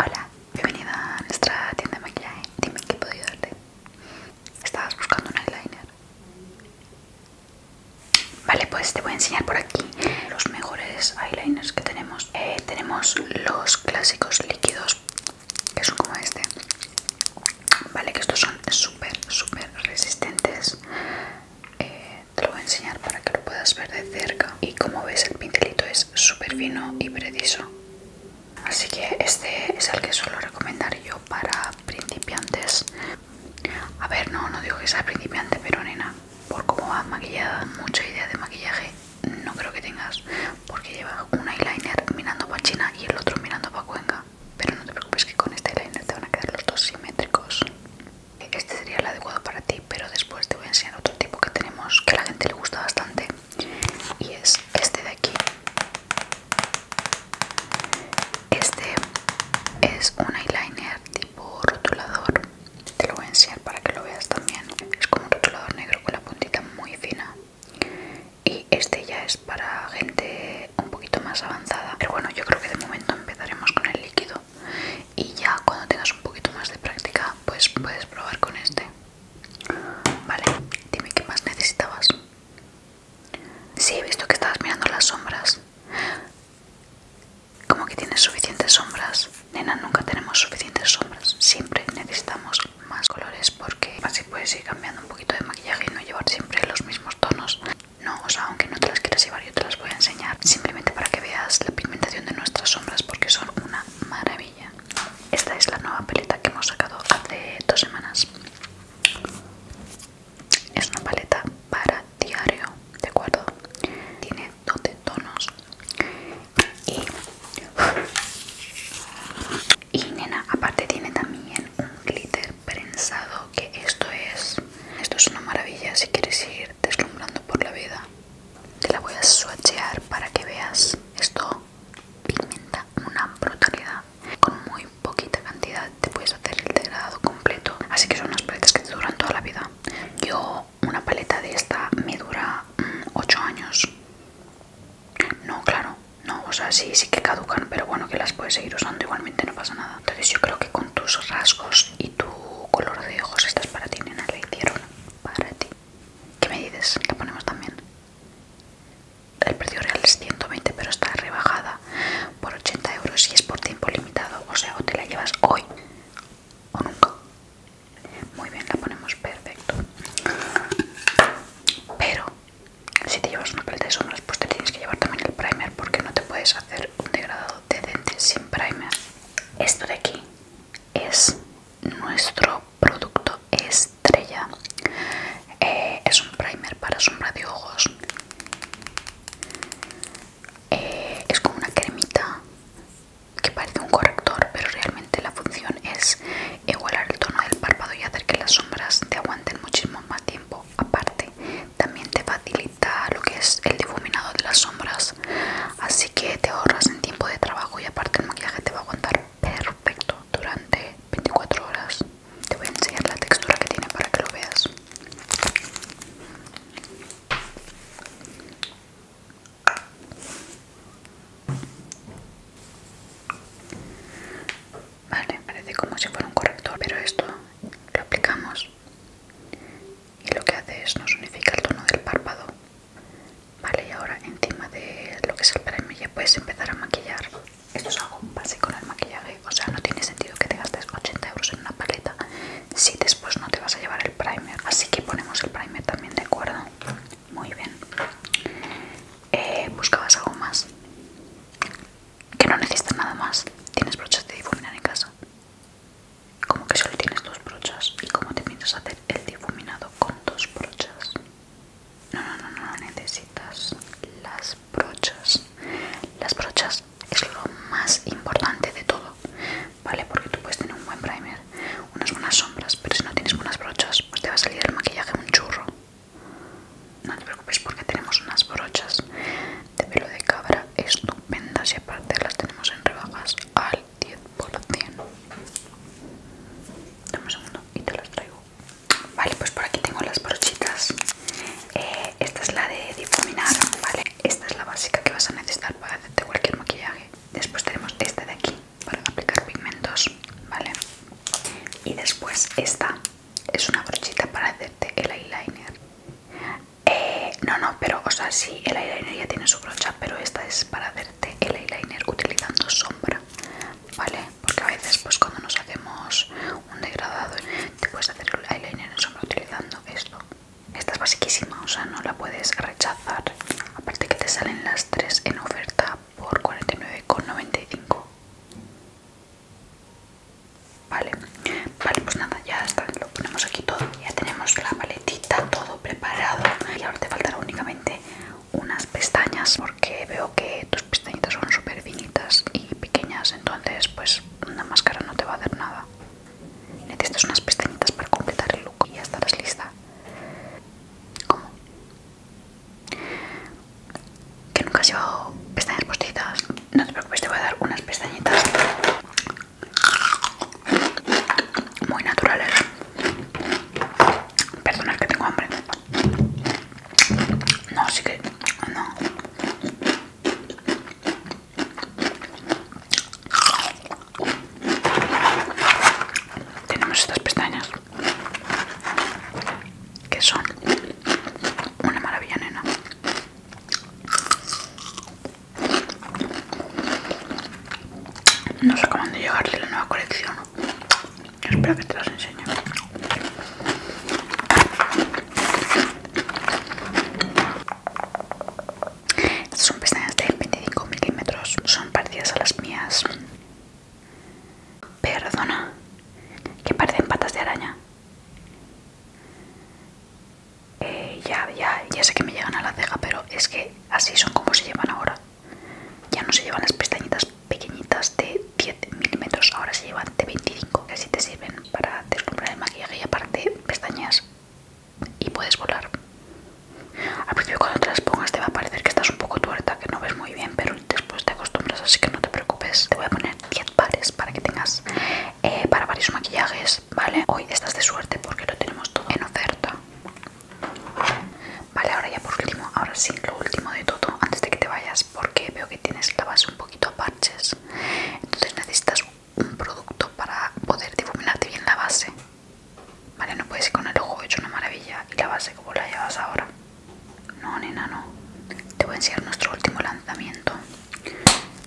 Hola, bienvenida a nuestra tienda de maquillaje. Dime qué puedo ayudarte. Estabas buscando un eyeliner. Vale, pues te voy a enseñar por aquí los mejores eyeliners que tenemos. Eh, tenemos los clásicos líquidos, que son como este. Vale, que estos son súper, súper resistentes. Eh, te lo voy a enseñar para que lo puedas ver de cerca. Y como ves, el pincelito es súper fino y preciso. Así que este es el que suelo recomendar yo para principiantes. A ver, no, no digo que sea principiante, pero nena, por cómo vas maquillada, mucha idea de maquillaje no creo que tengas, porque lleva un eyeliner mirando para China y el otro mirando para Cuenca pero no te preocupes que con este eyeliner te van a quedar los dos simétricos este sería el adecuado para ti pero después te voy a enseñar otro tipo que tenemos que a la gente le gusta bastante y es este de aquí este es un eyeliner tipo rotulador te lo voy a enseñar para que lo veas también es como un rotulador negro con la puntita muy fina y este ya es para gente un poquito más avanzada pero bueno yo creo que de momento empezaremos con el líquido y ya cuando tengas un poquito más de práctica pues puedes probar con este vale dime qué más necesitabas Sí, he visto que estabas mirando las sombras. Como que tienes suficientes sombras. Nena, nunca tenemos suficientes sombras. Siempre necesitamos más colores porque así puedes ir cambiando un de maquillaje y no llevar siempre los mismos tonos. No, o sea, aunque no te las quieras llevar, yo te las voy a enseñar simplemente para que veas la pigmentación de nuestras sombras porque son una maravilla. Esta es la nueva paleta que hemos sacado hace dos semanas. Es una paleta para diario, ¿de acuerdo? Tiene 12 tonos. Y, y nena, aparte tiene también un glitter pensado que esto es esto es una maravilla si quieres ir deslumbrando por la vida te la voy a swatchear para que veas esto pigmenta una brutalidad con muy poquita cantidad te puedes hacer el degradado completo así que son unas paletas que te duran toda la vida yo una paleta de esta me dura 8 mm, años no claro no, o sea, sí, sí que caducan, pero bueno, que las puedes seguir usando igualmente, no pasa nada. Entonces yo creo que con tus rasgos y tu color de ojos estas para ti, nena, la hicieron para ti. ¿Qué me dices? La ponemos también. El precio real es 120, pero está rebajada por 80 euros y es por tiempo limitado. O sea, o te la llevas hoy o nunca. Muy bien, la ponemos perfecto. Pero si te llevas una paleta de sombras pues te tienes que llevar también el primer porque no te puedes hacer un degradado de sin primer esto de aquí es nuestro producto estrella eh, es un primer para sombra de ojos eh, es como una cremita que parece un corrector pero realmente la función es igualar el tono del párpado y hacer que las sombras te aguanten muchísimo más tiempo aparte también te facilita lo que es el difuminado de las sombras así que te ahorras en tiempo de trabajo y aparte el maquillaje te va a aguantar perfecto durante 24 horas te voy a enseñar la textura que tiene para que lo veas Vale, parece como si fuera un corrector, pero esto lo aplicamos y lo que hace es nos unifica el tono del párpado. Vale, y ahora encima de lo que es el primer ya puedes empezar a maquillar. Esto es algo básico en el maquillaje, o sea, no tiene sentido que te gastes 80 euros en una paleta si después no te vas a llevar el primer. Así que ponemos el primer también, ¿de acuerdo? Muy bien. Eh, ¿Buscabas algo más? Que no necesitas nada más. ¿Tienes brochas de difuminar en casa? Como que solo tienes dos brochas. ¿Y cómo te a hacer el difuminado con dos brochas? No, no, no, no necesitas las brochas. Las brochas es lo más importante de todo, ¿vale? Porque tú puedes tener un buen primer, unas buenas sombras, pero si no tienes buenas brochas, pues te va a salir el maquillaje un churro. No te preocupes porque tenemos unas brochas de pelo de cabra estupendas y aparte las tenemos en rebajas al 10%. Dame un segundo y te las traigo. Vale, pues por aquí tengo las brochitas. Eh, esta es la de difuminar, ¿vale? Esta es la básica que vas a necesitar para hacerte cualquier maquillaje. Después tenemos esta de aquí para aplicar pigmentos, ¿vale? Y después esta es una brochita para hacerte el eyeliner eh, no no pero o sea sí el eyeliner ya tiene su brocha pero esta es para hacerte el eyeliner utilizando sombra vale porque a veces pues cuando nos hacemos un degradado te puedes hacer el eyeliner en sombra utilizando esto esta es basiquísima o sea no la puedes rechazar aparte que te salen las tres en oferta por 49,95 Vale, vale, pues nada, ya está, lo ponemos aquí todo. Ya tenemos la paletita, todo preparado. Y ahora te faltará únicamente unas pestañas, porque veo que tus pestañitas son súper finitas y pequeñas, entonces pues una máscara no te va a dar nada. Necesitas unas pestañitas para completar el look y ya estarás lista. ¿Cómo? que nunca has llevado pestañas postizas, no te preocupes, te voy a dar unas pestañitas muy naturales. Perdonad que tengo hambre. No, sí que no. Tenemos estas pestañas que son una maravilla, nena. Nos acaban de llegar la nueva colección. Espero que te las enseñe. Estas son pestañas de 25 milímetros. Son parecidas a las mías. Perdona. Que parecen patas de araña. Eh, ya, ya, sé que me llegan a la ceja, pero es que así son como se llevan ahora. Ya no se llevan las pestañitas pequeñitas de 10 milímetros, ahora se llevan de 25. que Así te sirven para deslumbrar el maquillaje y aparte pestañas y puedes volar. Al principio cuando te las pongas te va a parecer que estás un poco tuerta, que no ves muy bien, pero después te acostumbras, así que no te preocupes. Te voy a poner 10 pares para que tengas eh, para varios maquillajes, ¿vale? Hoy estás de suerte porque lo tenemos todo en oferta. Vale, ahora ya por último, ahora sí, lo último de todo, antes de que te vayas, porque veo que tienes la base un poquito a parches. Entonces necesitas un producto para poder difuminarte bien la base. Vale, no puedes ir con el ojo hecho una maravilla y la base como la llevas ahora. No, nena, no. Te voy a enseñar nuestro último lanzamiento,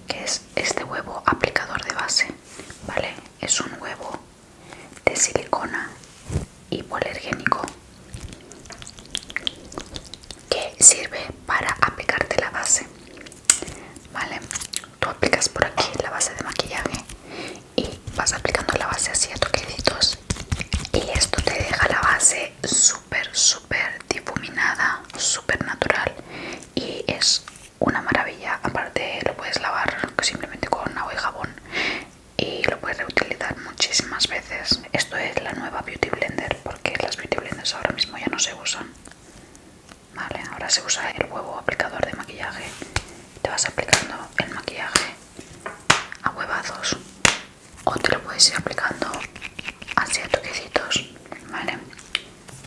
que es este huevo aplicador de base, ¿vale? Es un huevo de silicona hipoalergénico que sirve para aplicarte la base, ¿vale? Tú aplicas por aquí la base de maquillaje y vas aplicando la base así a toquecitos y esto te deja la base super súper, difuminada, super natural y es una maravilla. Aparte, lo puedes lavar simplemente con agua y jabón y lo puedes reutilizar muchísimas veces. Esto es la nueva Beauty Blender porque las Beauty Blenders ahora mismo ya no se usan. ahora se usa el huevo aplicador de maquillaje. Te vas aplicando el maquillaje a huevazos o te lo puedes ir aplicando a toquecitos, ¿vale?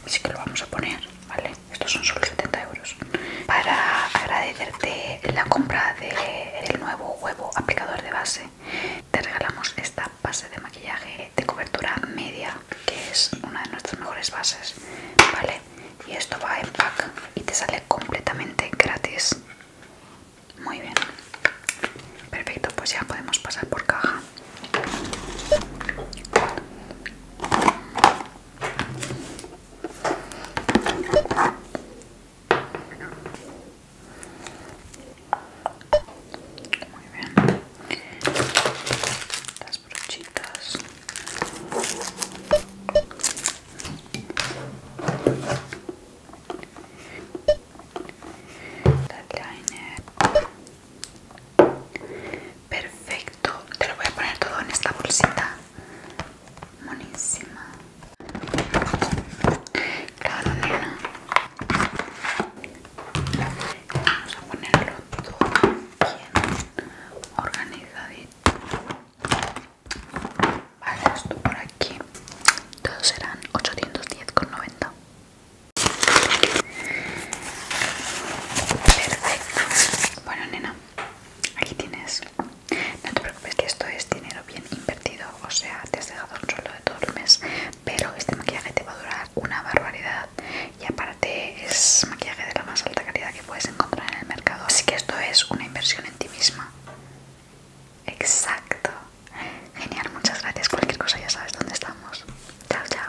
Así que lo vamos a poner, ¿vale? Estos son solo 70 euros. Para agradecerte la compra del nuevo huevo aplicador de base, te regalamos esta base de maquillaje de cobertura media, que es una de nuestras mejores bases, ¿vale? Y esto va en pack y te sale completamente gratis. Muy bien. Perfecto, pues ya podemos pasar por caja. Las brochitas. Perfecto, te lo voy a poner todo en esta bolsita. monísima. Claro, nena. Vamos a ponerlo todo bien organizadito. Vale, esto por aquí. Todos serán 810,90. Perfecto. Bueno, nena, aquí tienes. No te preocupes que esto es dinero bien invertido. O sea, te has dejado un solo de todo el mes. Pero este maquillaje te va a durar una barbaridad. Y aparte es maquillaje de la más alta calidad que puedes encontrar en el mercado. Así que esto es una inversión en ti misma. Exacto. Genial, muchas gracias. Cualquier cosa ya sabes dónde estamos. Chao, chao.